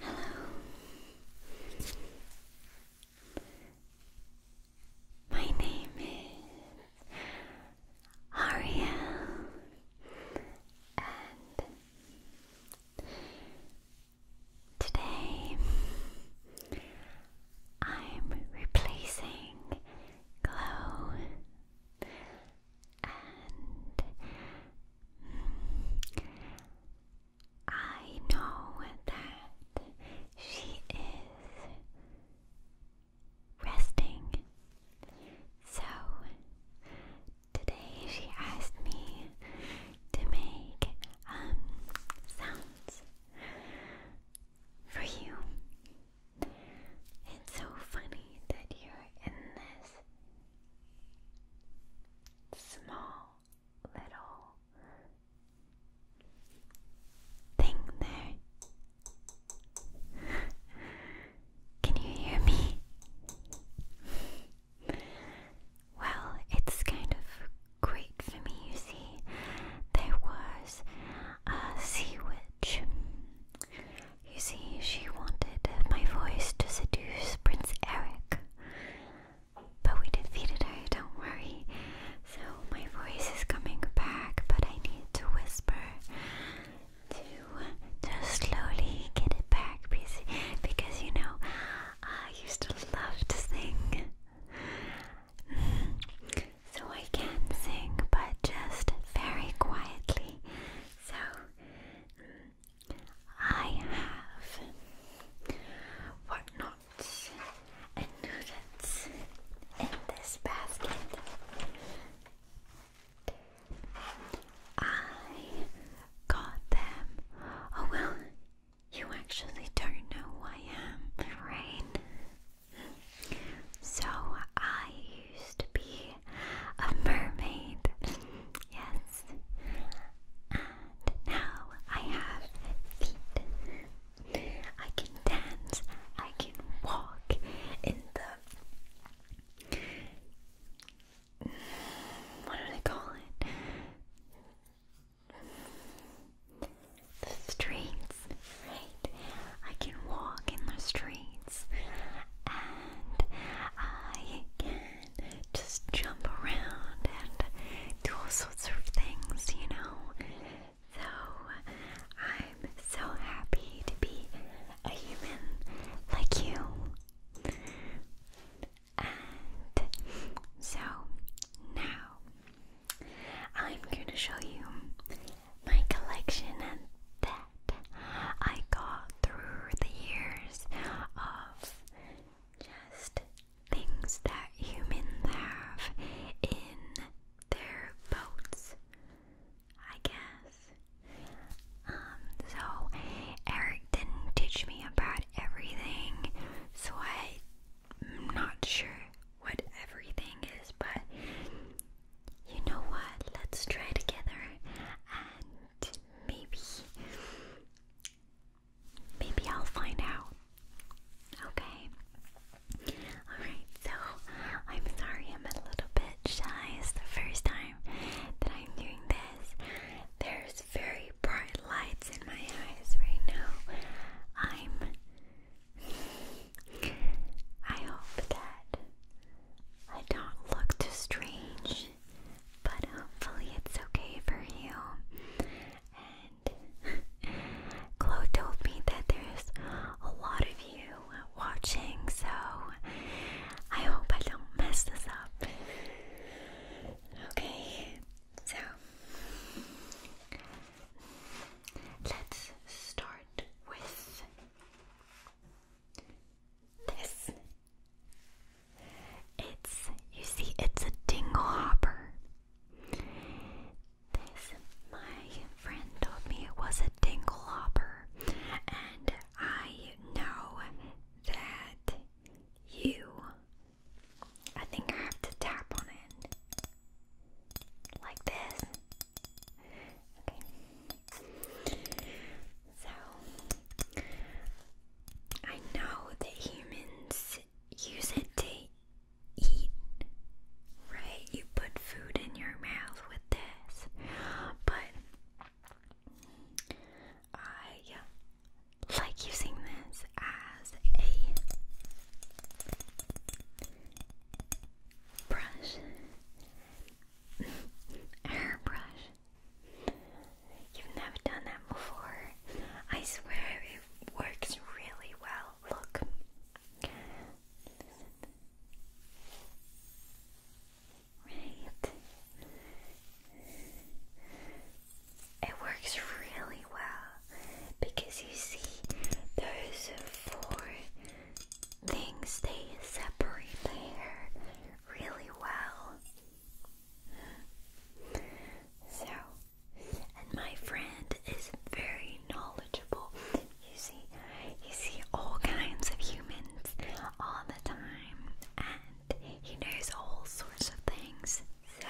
Hello. My name is Ariel, and today I'm replacing Glow and I know that she is resting. So today she asked me to make um sounds for you. It's so funny that you're in this small little thing there. Can you hear me? Well, it's kind of great for me, you see. There was a sea witch. You see, she wanted my voice to seduce Prince Eric. But we defeated her, don't worry. So my voice is coming back, but I need to whisper to just slowly get it back because, because you know, I used to love to sing. Mm. So I can sing, but just very quietly. So, mm, I have whatnots and noodles in this basket. I got them. Oh, well, you actually don't know who I am, right? So I used to be a mermaid, yes, and now I have feet. I can dance, I can walk in the. What do they call it? The streets. I can walk in the streets and I can just jump around and do all sorts of things, you know. So I'm so happy to be a human like you. And so now I'm going to show you my collection and that I got through the years of just things that humans have in their boats, I guess. Um, so Eric didn't teach me about everything, so I'm not sure what everything is, but you know what? Let's try together and maybe maybe I'll find out. Okay. Alright, so I'm sorry i a little bit shy. the first time that I'm doing this. There's very bright lights in my eyes right now. I'm I hope that I don't look too strange, but hopefully it's okay for you. And Chloe told me that there's a lot of you watching, so I hope I don't mess this up. Okay, so let's start with this. It's, you see, it's a dingle hopper. This, my friend told me it was a dingle and I know that you, I think I have to tap on it like this. So, I know that humans use it to eat, right? You put food in your mouth with this, but I like using this as a brush Airbrush. You've never done that before. I swear it works really well. Look. Right. It works really well because you see, those four things they separate the hair really well. So, and my friend is very knowledgeable. You see, you see all kinds of humans all the time, and he knows all sorts of things. So,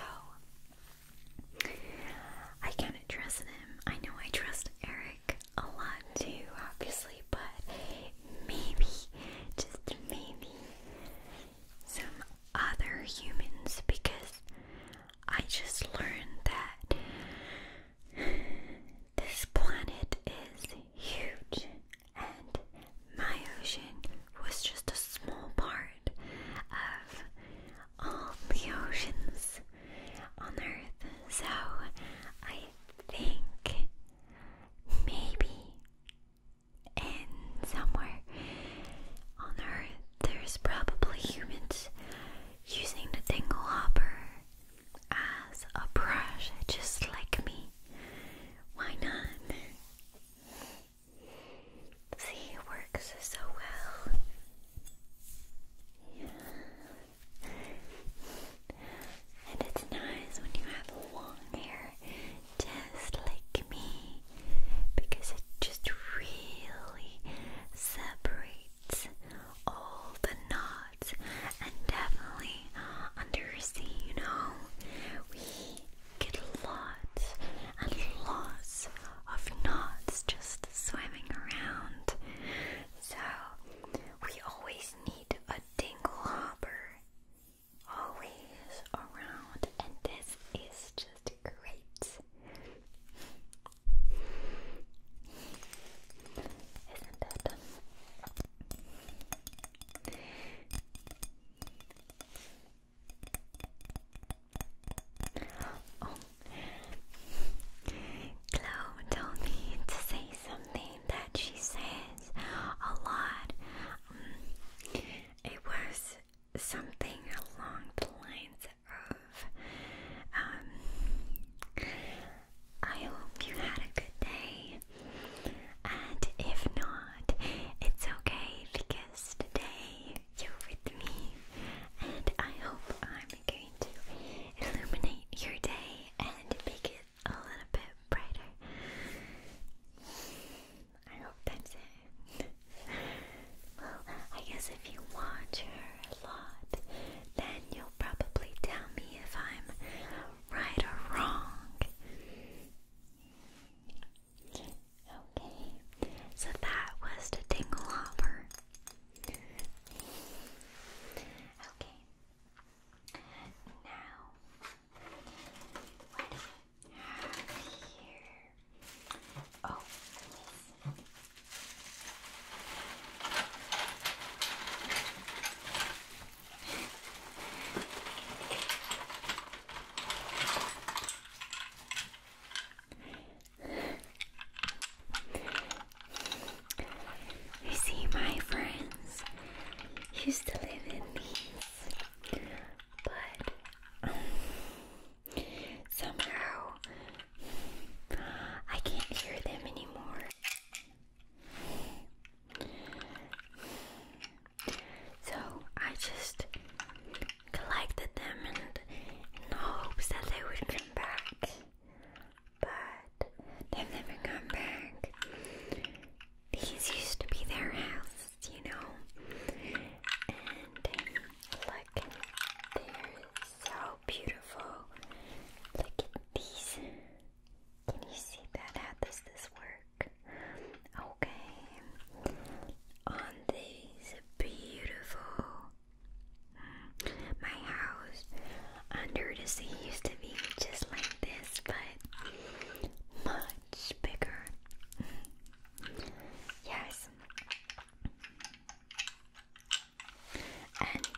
I can of trust him. I know I trust Eric a lot too, obviously, but maybe, just maybe, some other humans because I just learned that this planet is huge and my ocean was just a small part of all the oceans on Earth. So I think maybe and somewhere on Earth there's probably humans using the tingle hopper as a brush just like me. Why not? See, it works so well. Yeah. And it's nice when you have long hair, just like me, because it just really separates all the knots, and definitely under your sea, you know, we get lots and lots of knots just swimming around. So we always need need a dingle hopper always around, and this is just great. Isn't it? Oh, Chloe told me to say something that she says a lot. Um, it was something along the lines of, um, I hope you had a good day, and if not, it's okay because today you're with me, and I hope I'm going to illuminate your day and make it a little bit brighter. I hope that's it. well, I guess if you watch her a lot, then you'll probably tell me if I'm right or wrong. Okay, so that was the Dingle Okay, now, what do we have here? Oh, yes. You see, my friends used to live in these, but um, somehow I can't hear them anymore. So I just collected them and in hopes that they would come back but they've never come back. These used to be their house, you know. And look, they're so beautiful. Look at these. Can you see that? How does this work? Okay. On these beautiful my house under the sea used to be just like this, but much bigger. Yes. And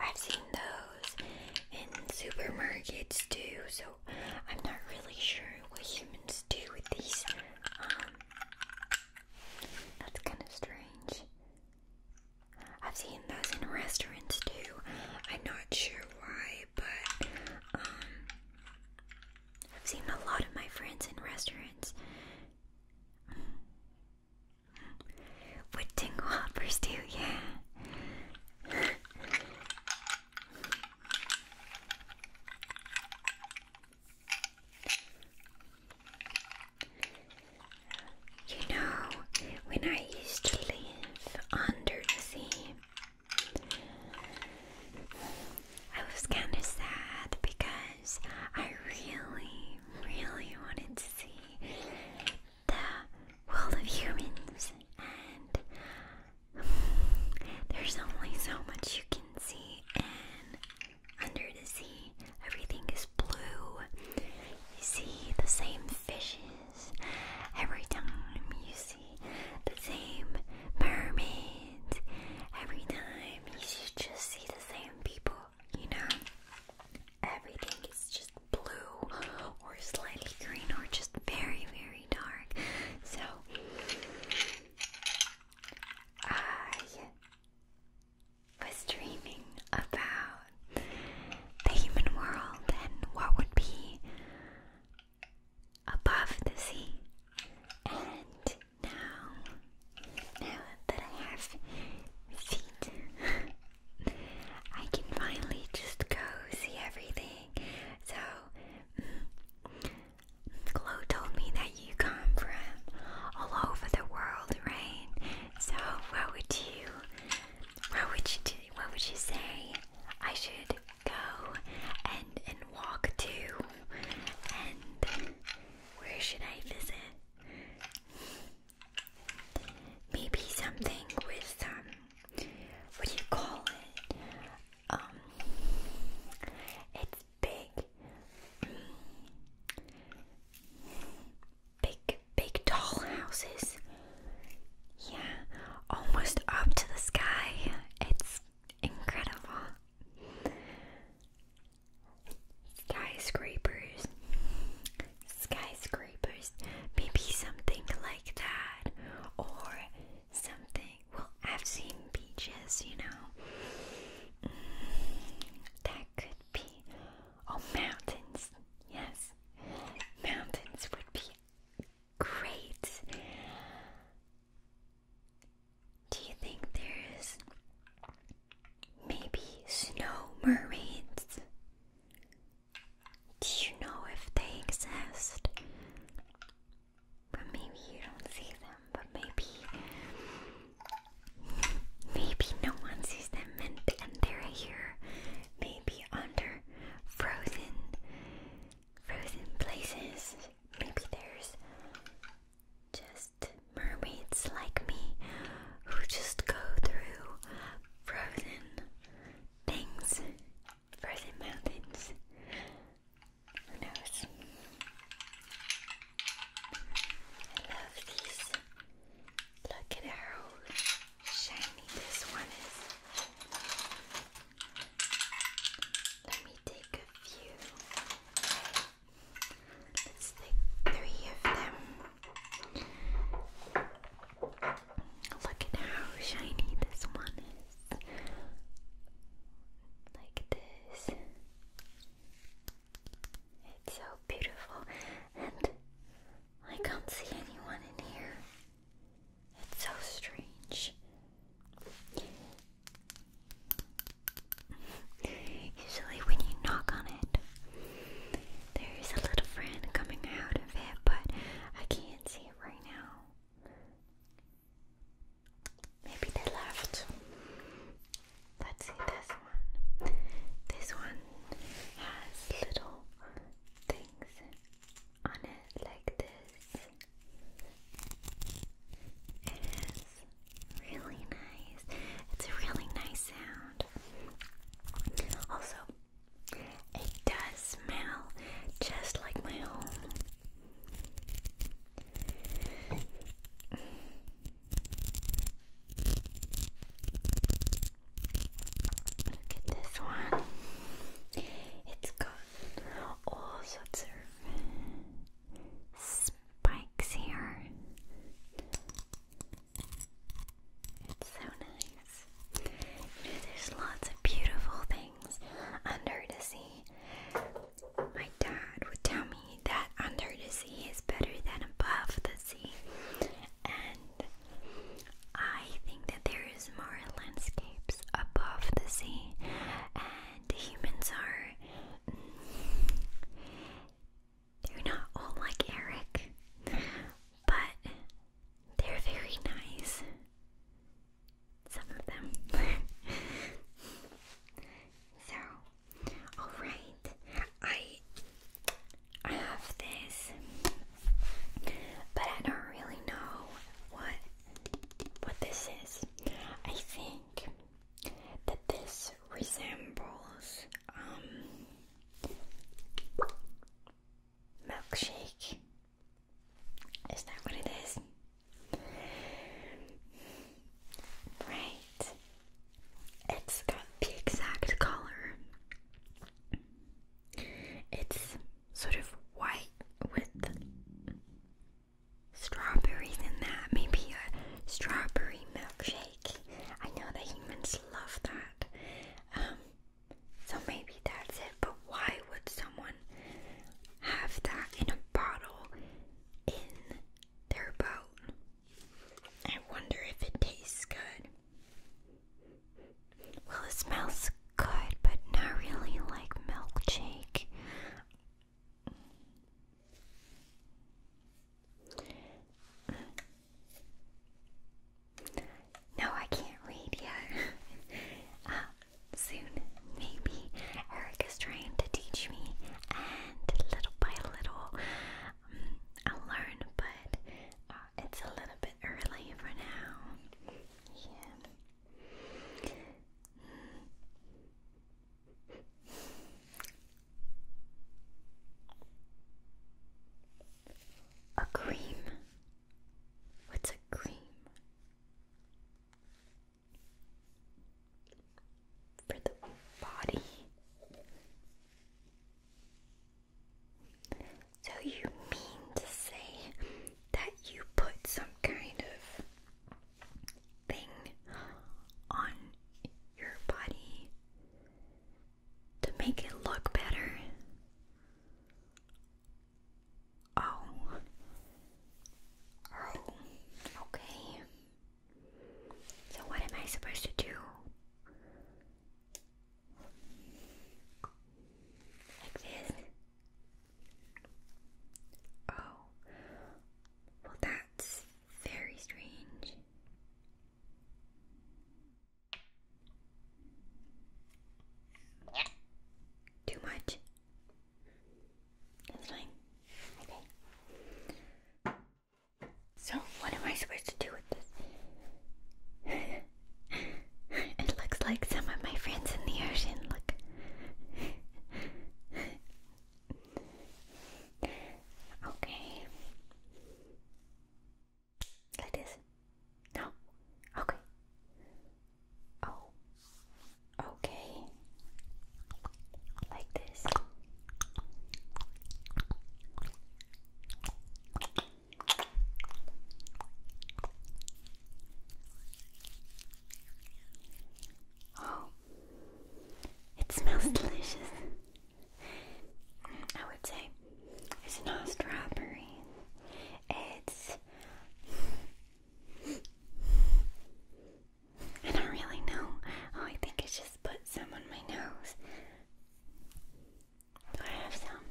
I've seen those in supermarkets too, so I'm not really sure what humans do with these. Um, that's kind of strange. I've seen those in restaurants too. I'm not sure why, but um, I've seen a lot of my friends in restaurants. What tingle hoppers do, yeah. You know, when I used to live under the sea, I was kind of sad because I really, really wanted to see the world of humans, and there's only so much you can see, and under the sea, everything is blue. You see the same fishes every time, you see the same mermaids every time, you just see the same people, you know? Everything is just blue or slightly green or just very, very dark. So I was dreaming about the human world and what would be above the sea. And now, now that I have feet, I can finally just go see everything. So, Chloe told me that you come from all over the world, right? So what would you, what would you do, what would you say I should go and and walk to, and where should I visit? Maybe something with um, what do you call it? um, it's big, mm. big, big tall houses. Yeah, almost up to the sky. It's incredible. Skyscrapers, skyscrapers, maybe something like that, or something. Well, I've seen beaches, you know. that could be. Oh, mountains. Yes. Mountains would be great. Do you think there's maybe snow mermaids? Do you know if they exist? But maybe you don't see them, but maybe maybe no one sees them and, and they're here. Maybe under frozen frozen places. Maybe there's just mermaids like me who just go through frozen things, frozen mountains. Who knows? I love these. Look at how shiny this one is. Let me take a few. Let's take three of them. Look at how shiny this one is like this. It's so beautiful, and I can't see anyone in here. It's so strange. Usually, when you knock on it, there is a little friend coming out of it, but I can't see it right now. Maybe they left. Let's see this one. This one has little things on it like this. It is really nice. It's a really nice sound. Also, it does smell just like my home. Look at this one. It's got all sorts of spikes here. so nice. there's lots of beautiful things under the sea. My dad would tell me that under the sea is better than above the sea, and I think that there is more landscapes above the sea, and humans are. Mm, they're not all like Eric, but they're very nice some of them. so, all right, I I have this, but I don't really know what what this is. I think that this resembles um milkshake. Is that what it is? Right. It's got the exact color. It's sort of white with strawberries in that. Maybe a strawberry milkshake. I know that humans love that. Um, so maybe that's but why would someone have that in a bottle in their boat? I wonder if it tastes good. Well, it smells good, but not really like milkshake. No, I can't read yet. Uh, soon, maybe. Eric is trying to teach me, and little by little, um, I'll learn, but uh, it's a little bit early for now. Yeah. A cream? What's a cream? for the body. So, you mean to say that you put some kind of thing on your body to make it look better? Oh. Oh. Okay. So, what am I supposed to do? Like this? Oh. Well, that's very strange. Too much. That's fine. Okay. So, what am I supposed to do with this? it looks like some of my friends in the ocean. Look. okay. Like this? No. Okay. Oh, okay, like this. Oh, it smells delicious. I would say it's not strawberry. It's I don't really know. Oh, I think I just put some on my nose. Do I have some?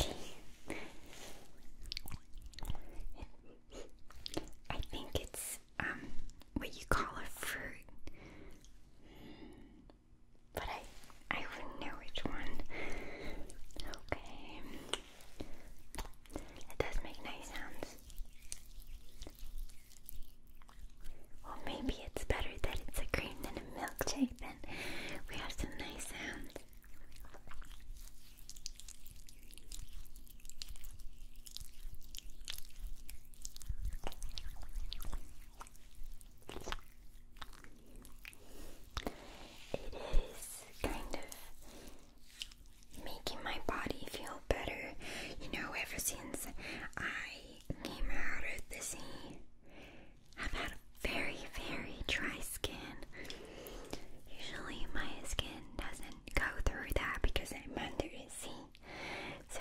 Okay. I think it's um what you call a fruit. But I I wouldn't know which one. Okay. It does make nice sounds. Or maybe it's better that it's a cream than a milkshake, then we have some nice sounds. It is kind of making my body feel better. You know, ever since I came out of the sea, I've had a very, very dry skin. Usually, my skin doesn't go through that because I'm under the sea. So,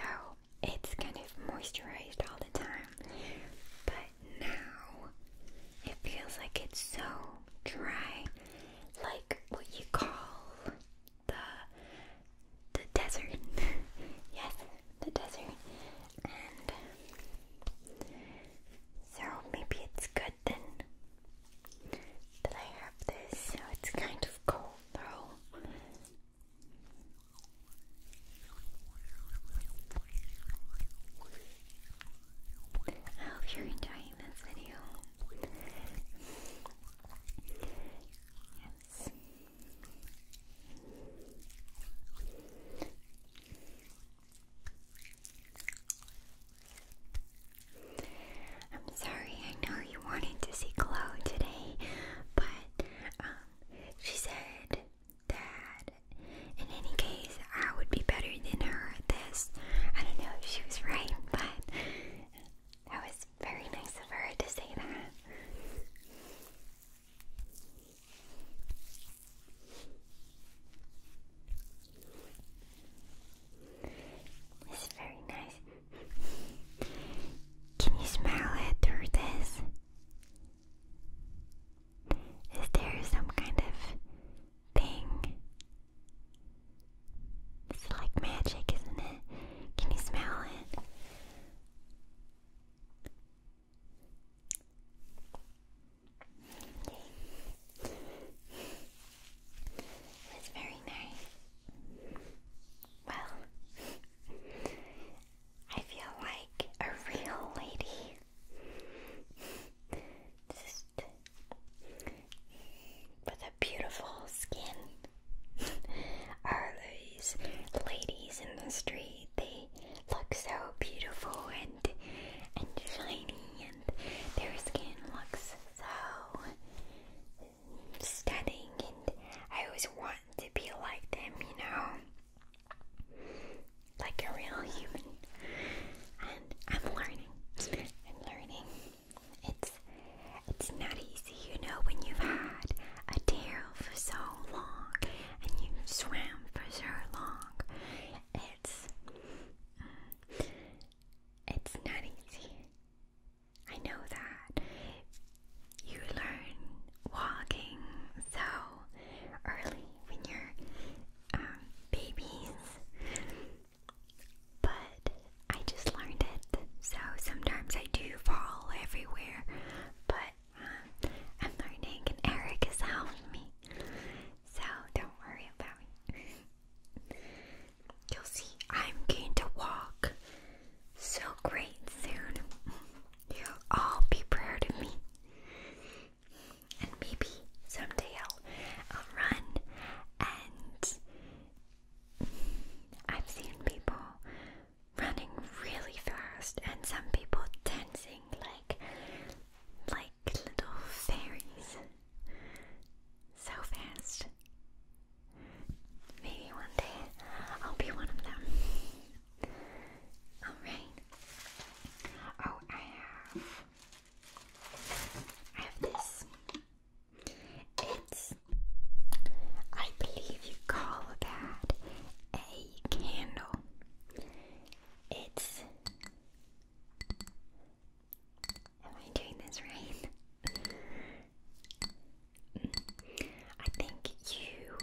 it's kind of moisturized all the time. But now it feels like it's so dry, like what you call the the desert. yes, the desert. so maybe it's good then that I have this. So it's kind of cold though. I hope you're enjoying this video. Yes. I'm sorry, I know you wanted to see Chloe today, but um, she said that. In any case, I would be better than her at this. I don't know if she was right, but that was very nice of her to say that. It's very nice. Can you smell it through this? Is there some kind of thing? It's like magic, isn't it? Can you smell it? Okay. very nice. Well, I feel like a real lady with a beautiful skin. Our these ladies in the street, they look so beautiful and and shiny and their skin looks so stunning and I always want to be like them, you know like a real human. And I'm learning. I'm learning. It's it's not easy, you know, when you've had a tarot for so long and you swam for so long. It's mm, it's not easy. I know that you learn walking so early when you're um, babies, but I just learned it. So sometimes I do fall everywhere, but um, I'm learning, and Eric is helping me. So don't worry about me. You'll see, I'm going to walk so great soon. You'll all be proud of me and maybe someday I'll, I'll run and I've seen people running really fast and some people dancing like like little fairies so fast maybe one day I'll be one of them alright oh I have I have this. It's, I believe you call that a candle. It's, am I doing this right? I think you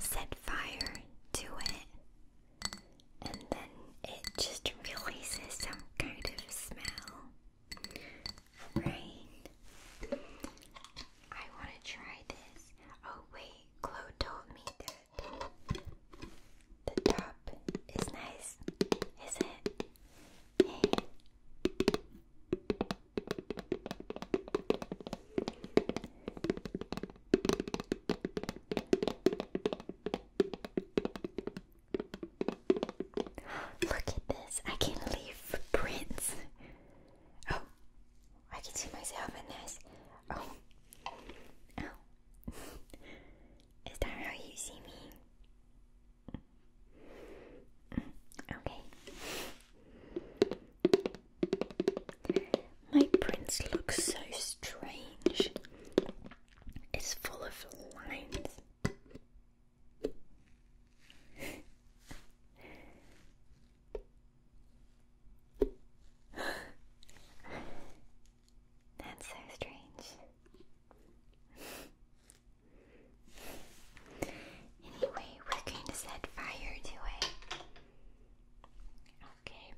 set fire to it and then it just releases some kind of smell. Rain. I want to try this. Oh, wait, Chloe told me the top is nice, is it? Look at this. I can leave prints. Oh, I can see myself in this. Oh, oh. Is that how you see me? Mm. Okay. My prince looks so strange. It's full of lines. That's so strange. anyway, we're going to set fire to it. Okay.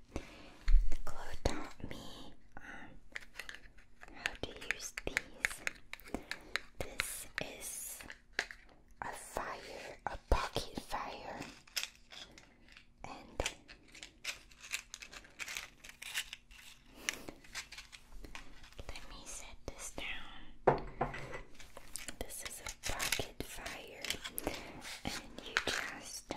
Chloe taught me um, how to use these. This is a fire, a pocket fire, and let me set this down. This is a pocket fire, and you just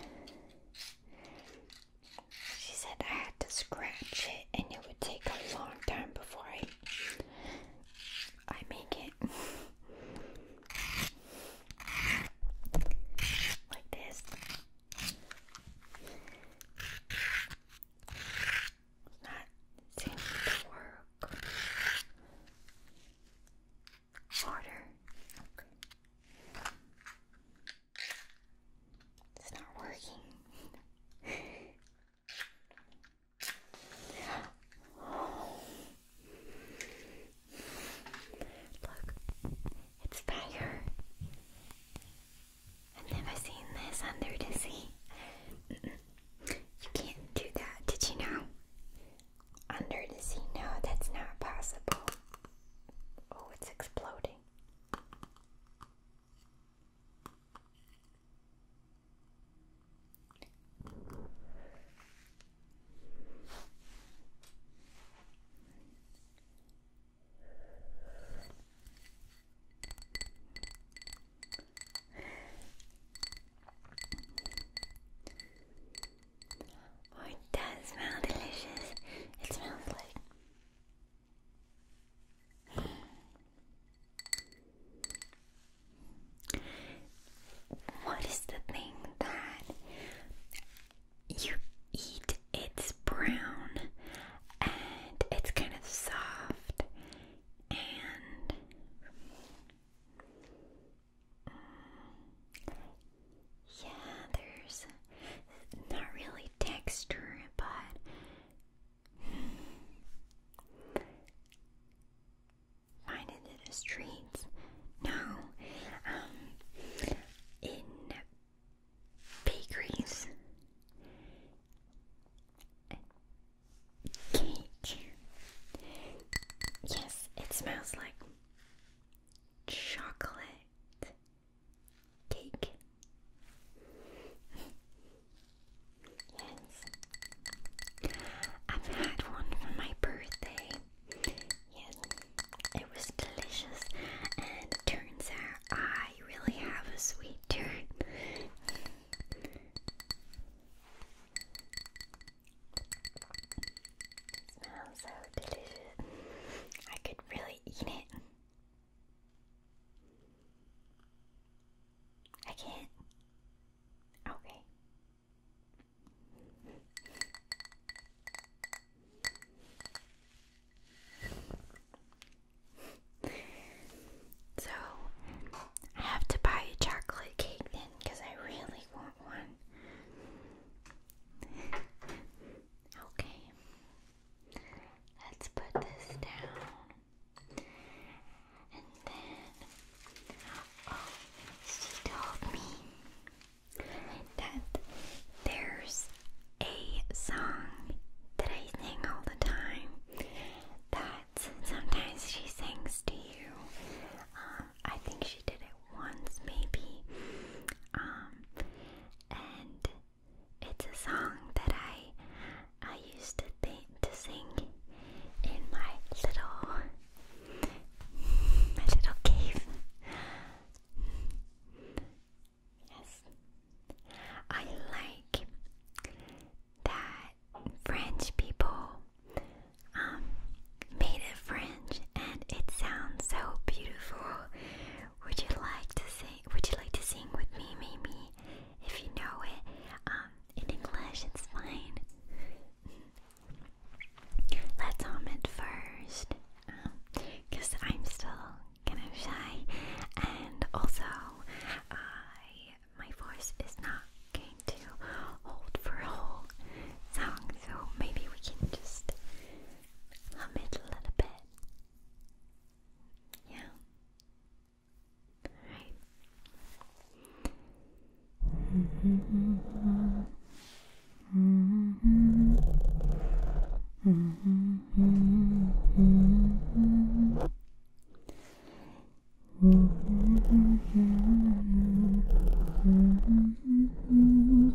she said I had to scratch it and it would take a long time before I I make it. like this. not seeming to work harder. It's not working. Look, it's fire. I've never seen this under the sea. you can't do that, did you know? Under the sea? No, that's not possible. Oh, it's exploding. Oh, it does smell delicious. It smells like. What is the thing that you eat? It's brown and it's kind of soft and yeah, there's not really texture, but find in the streets. No, um, in bakeries, cake. Yes, it smells like chocolate Cake. yes. I've had one for my birthday. Yes. It was delicious and turns out I really have a sweet tooth smells so delicious. I could really eat it. I can't. Okay. So, I have to buy a chocolate cake then because I really want one okay, let's put this down. And then, oh, she told me that there's a song that I sing all the time that sometimes she sings to you. Um, I think she did it once, maybe. Um, and it's a song that I I used to sing in my little my little cave. Yes, I like that French people. Um, made of fringe and it sounds so beautiful. Would you like to sing would you like to sing with me maybe if you know it? Um in English it's fine. Let's hum it first. Um, cause I'm still kind of shy and also I my voice is not going to hold for a whole song so maybe we can just hum it a little bit. Yeah. Alright. You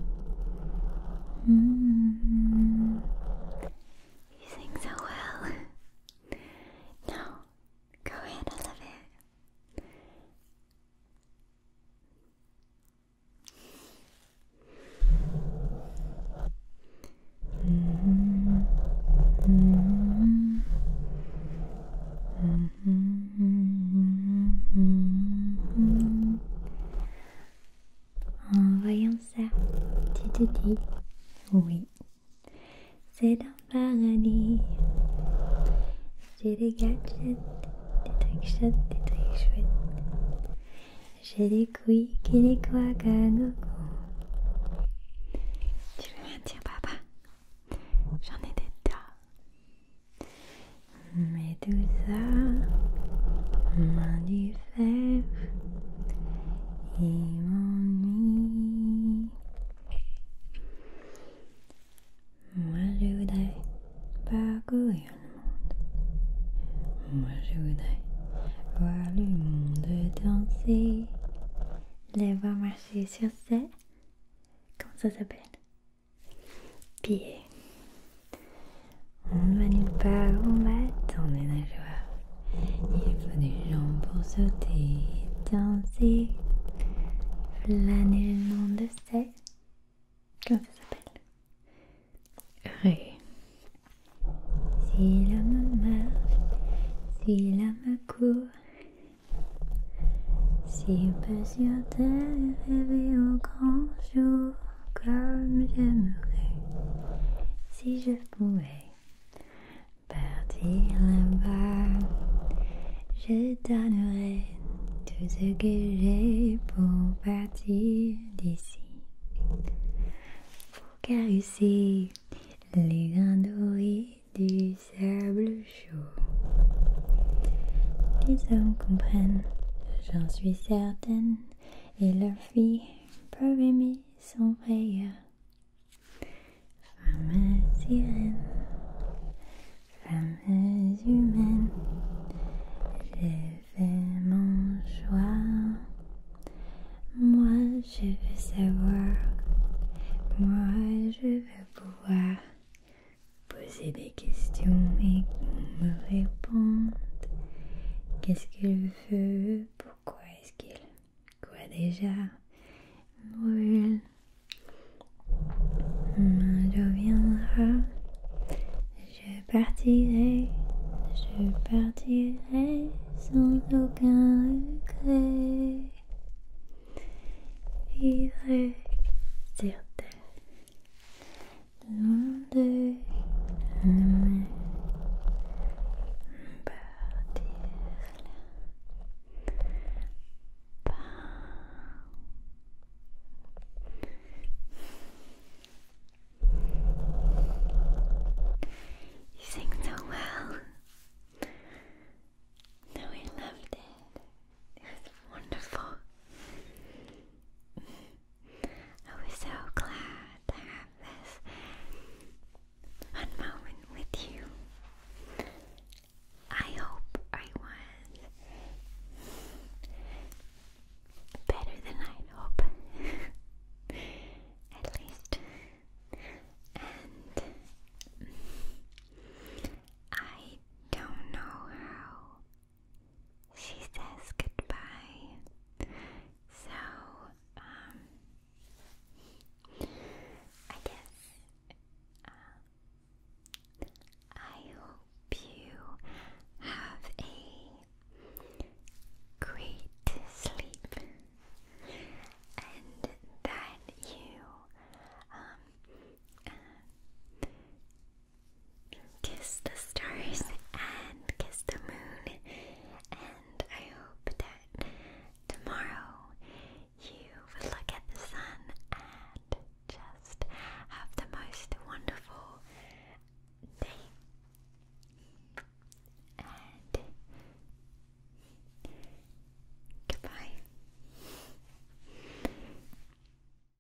sing so well. Now, go ahead, I love it. Mm-hmm. Mm-hmm. Mm-hmm. En voyant ça, tu te dis oui, c'est dans ma paradis. J'ai des gadgets, des trucs chouettes, des trucs chouettes. J'ai des couilles et des quacks Tu veux rien dire, papa J'en ai des tas. Mais ça m'a du fer, et mon Moi je voudrais parcourir le monde. Moi je voudrais voir le monde danser, les voir marcher sur ses. Comment ça s'appelle pied. On ne pas, on dans les nageoires. Il faut des jambes pour sauter, danser, flâner le monde de ses. Comment ça s'appelle Ré. Si l'homme marche, si l'homme court, si on peut sur terre rêver au grand comme j'aimerais si je pouvais partir là-bas. Je donnerais tout ce que j'ai pour partir d'ici. Pour caresser les grains du sable chaud. Les hommes comprennent, j'en je suis certaine, et leur vie peut aimer son frère. Femme sirène, femme humaine, j'ai fait mon choix. Moi je veux savoir, moi je veux pouvoir poser des questions et me répondre Qu'est-ce qu'il veut Pourquoi est-ce qu'il... Quoi déjà Brûle. Un jour viendra, je partirai, je partirai sans aucun regret. Donde me partirla You sing so well. No, we loved it. It was wonderful. I was so glad to have this fun moment with you. I hope I was better than i hope. At least. And I don't know how she says goodbye. So, um, I guess uh, I hope you have a great sleep and that you, um, uh, Kiss the stars and kiss the moon, and I hope that tomorrow you will look at the sun and just have the most wonderful day. And goodbye.